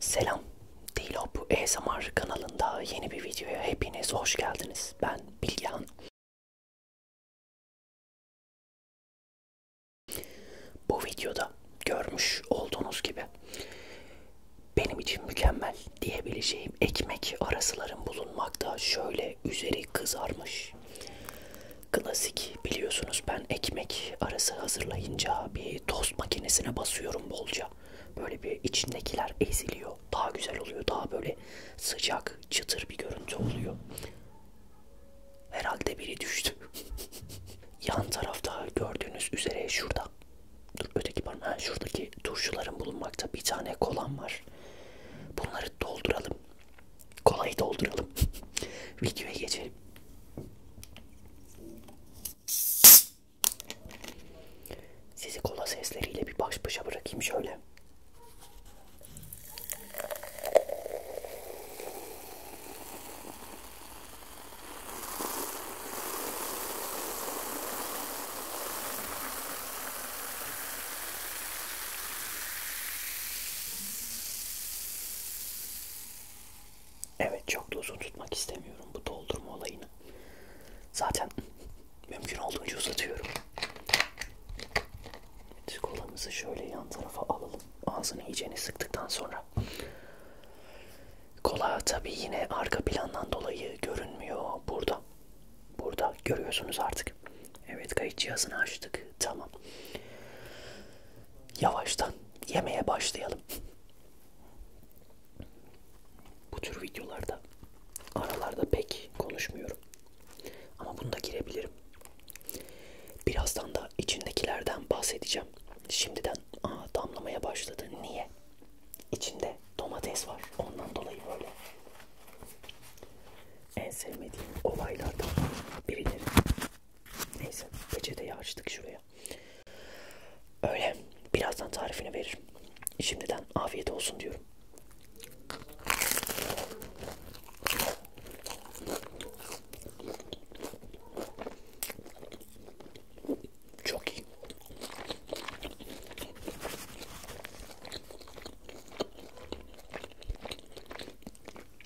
Selam, Dilop ASMR kanalında yeni bir videoya hepiniz hoş geldiniz. Ben Bilgehan. Bu videoda görmüş olduğunuz gibi benim için mükemmel diyebileceğim ekmek arasıların bulunmakta. Şöyle üzeri kızarmış. Klasik biliyorsunuz ben ben ekmek arası hazırlayınca bir tost makinesine basıyorum bolca. Böyle bir içindekiler eziliyor. Daha güzel oluyor. Daha böyle sıcak, çıtır bir görüntü oluyor. Herhalde biri düştü. Yan tarafta gördüğünüz üzere şurada. Dur öteki parmağım. Ha, şuradaki turşuların bulunmakta bir tane kolam var. Bunları dolduralım. Kolayı dolduralım. Videoya geçelim. Sizi kola sesleriyle bir baş başa bırakayım şöyle. Evet çok da uzun tutmak istemiyorum bu doldurma olayını. Zaten mümkün olduğunca uzatıyorum. Evet, kolamızı şöyle yan tarafa alalım. Ağzını iyicene sıktıktan sonra. Kola tabi yine arka plandan dolayı görünmüyor burada. Burada görüyorsunuz artık. Evet kayıt cihazını açtık. Tamam. Yavaştan yemeye başlayalım. Bu tür videolarda aralarda pek konuşmuyorum. Ama bunu da girebilirim. Birazdan da içindekilerden bahsedeceğim. Şimdiden aa, damlamaya başladı. Niye? İçinde domates var. Ondan dolayı böyle. En sevmediğim olaylardan birileri Neyse peçeteyi açtık şuraya. Öyle. Birazdan tarifini veririm. Şimdiden afiyet olsun diyorum. Çok iyi.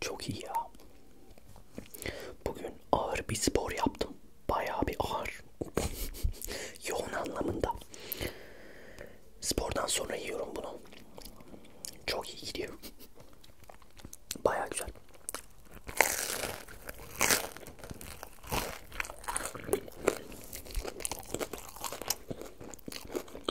Çok iyi ya. Bugün ağır bir spor yaptım. Bayağı bir ağır. Yoğun anlamında. Spordan sonra yiyorum bunu. Çok iyi gidiyor. Bayağı güzel.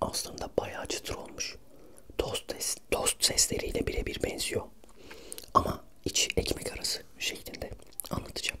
Aslında bayağı çıtır olmuş. Tost, ses, tost sesleriyle birebir benziyor. Ama iç ekmek arası şeklinde anlatacağım.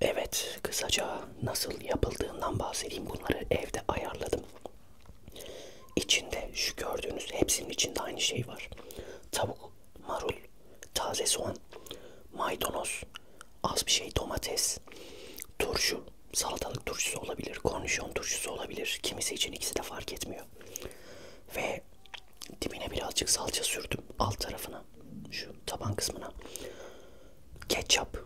Evet, kısaca nasıl yapıldığından bahsedeyim. Bunları evde ayarladım. İçinde şu gördüğünüz hepsinin içinde aynı şey var. Tavuk, marul, taze soğan, maydanoz, az bir şey domates, turşu, salatalık turşusu olabilir, kornişon turşusu olabilir. Kimisi için ikisi de fark etmiyor olmuyor. Ve dibine birazcık salça sürdüm alt tarafına. Şu taban kısmına. Ketçap,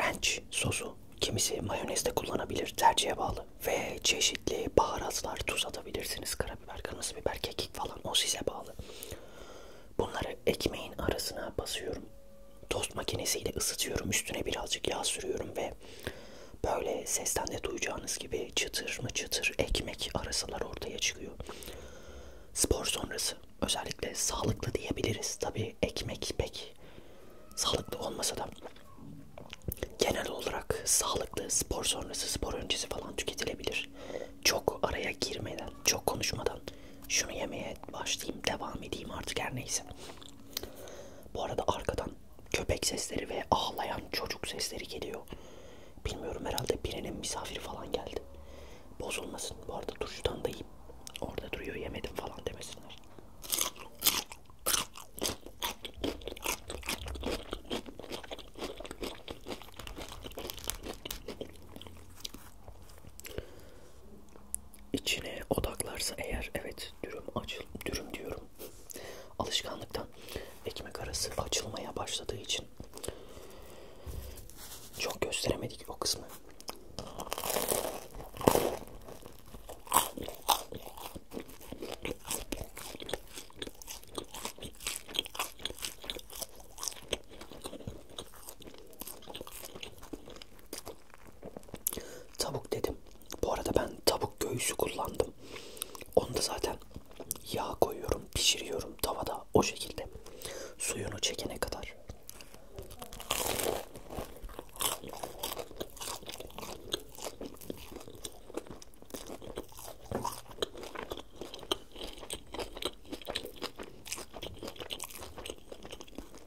ranch sosu. Kimisi mayonezde kullanabilir tercihe bağlı. Ve çeşitli baharatlar tuz atabilirsiniz. Karabiber, kırmızı biber, kekik falan o size bağlı. Bunları ekmeğin arasına basıyorum. Tost makinesiyle ısıtıyorum. Üstüne birazcık yağ sürüyorum ve içinde böyle sesten de duyacağınız gibi çıtır mı çıtır ekmek arasalar ortaya çıkıyor. Spor sonrası özellikle sağlıklı diyebiliriz. Tabi ekmek pek sağlıklı olmasa da genel olarak sağlıklı spor sonrası spor öncesi falan tüketilebilir. Çok araya girmeden, çok konuşmadan şunu yemeye başlayayım, devam edeyim artık her neyse. Bu arada arkadan köpek sesleri ve ağlayan çocuk sesleri geliyor. Bilmiyorum herhalde birinin misafiri falan geldi. Bozulmasın. Bu arada turşudan da yiyip orada duruyor yemedim falan demesinler. İçine odaklarsa eğer evet dürüm açıl dürüm diyorum alışkanlıktan ekmek arası açılmaya başladığı için çok gösteremedik o kısmı. Tavuk dedim. Bu arada ben tavuk göğsü kullandım. Onu da zaten yağ koyuyorum, pişiriyorum tavada o şekilde. Suyunu çekene kadar.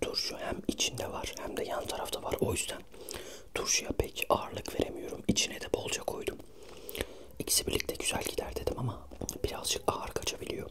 Turşu hem içinde var hem de yan tarafta var. O yüzden turşuya pek ağırlık veremiyorum. İçine de bolca koydum. İkisi birlikte güzel gider dedim ama birazcık ağır kaçabiliyor.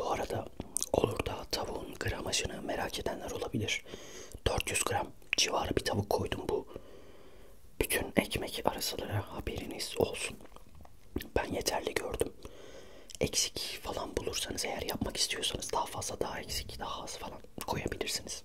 Bu arada olur da tavuğun gramajını merak edenler olabilir. 400 gram civarı bir tavuk koydum bu. Bütün ekmek arasılara haberiniz olsun. Ben yeterli gördüm. Eksik falan bulursanız eğer yapmak istiyorsanız daha fazla daha eksik daha az falan koyabilirsiniz.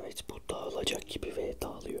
Evet bu dağılacak gibi ve dağılıyor.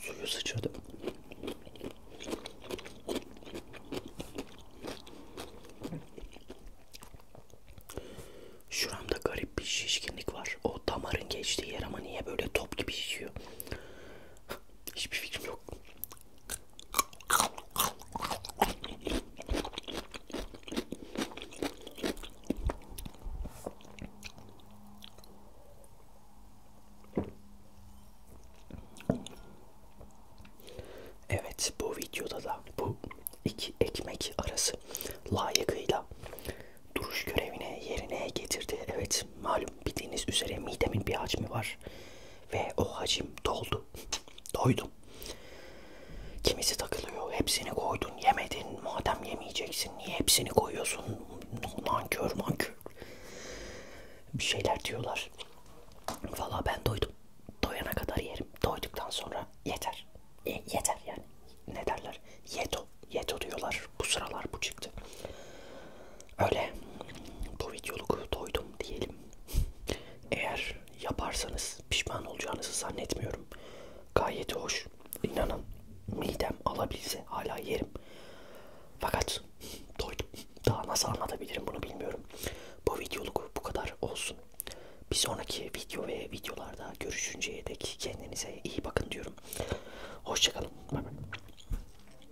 Suyu sıçradı. Şuramda garip bir şişkinlik var. O damarın geçtiği yer ama niye böyle top gibi şişiyor? Hiçbir fikrim yok. Evet bu videoda da bu iki ekmek arası layıkıyla duruş görevine yerine getirdi. Evet malum bildiğiniz üzere midemin bir hacmi var. Ve o hacim doldu. Doydum. Kimisi takılıyor. Hepsini koydun. Yemedin. Madem yemeyeceksin. Niye hepsini koyuyorsun? Nankör nankör. Bir şeyler diyorlar. Valla ben doydum. Doyana kadar yerim. Doyduktan sonra yeter. E, yeter yani. Ne derler? Yeto. Yeto diyorlar. Bu sıralar bu çıktı. Öyle bu videoluk doydum diyelim. Eğer yaparsanız pişman olacağınızı zannetmiyorum. Gayet hoş. İnanın midem alabilse hala yerim. Fakat doydum. Daha nasıl anlatabilirim bunu bilmiyorum. Bu videoluk bu kadar olsun. Bir sonraki video ve videolarda görüşünceye dek kendinize iyi bakın diyorum. Hoşçakalın. Bye bye.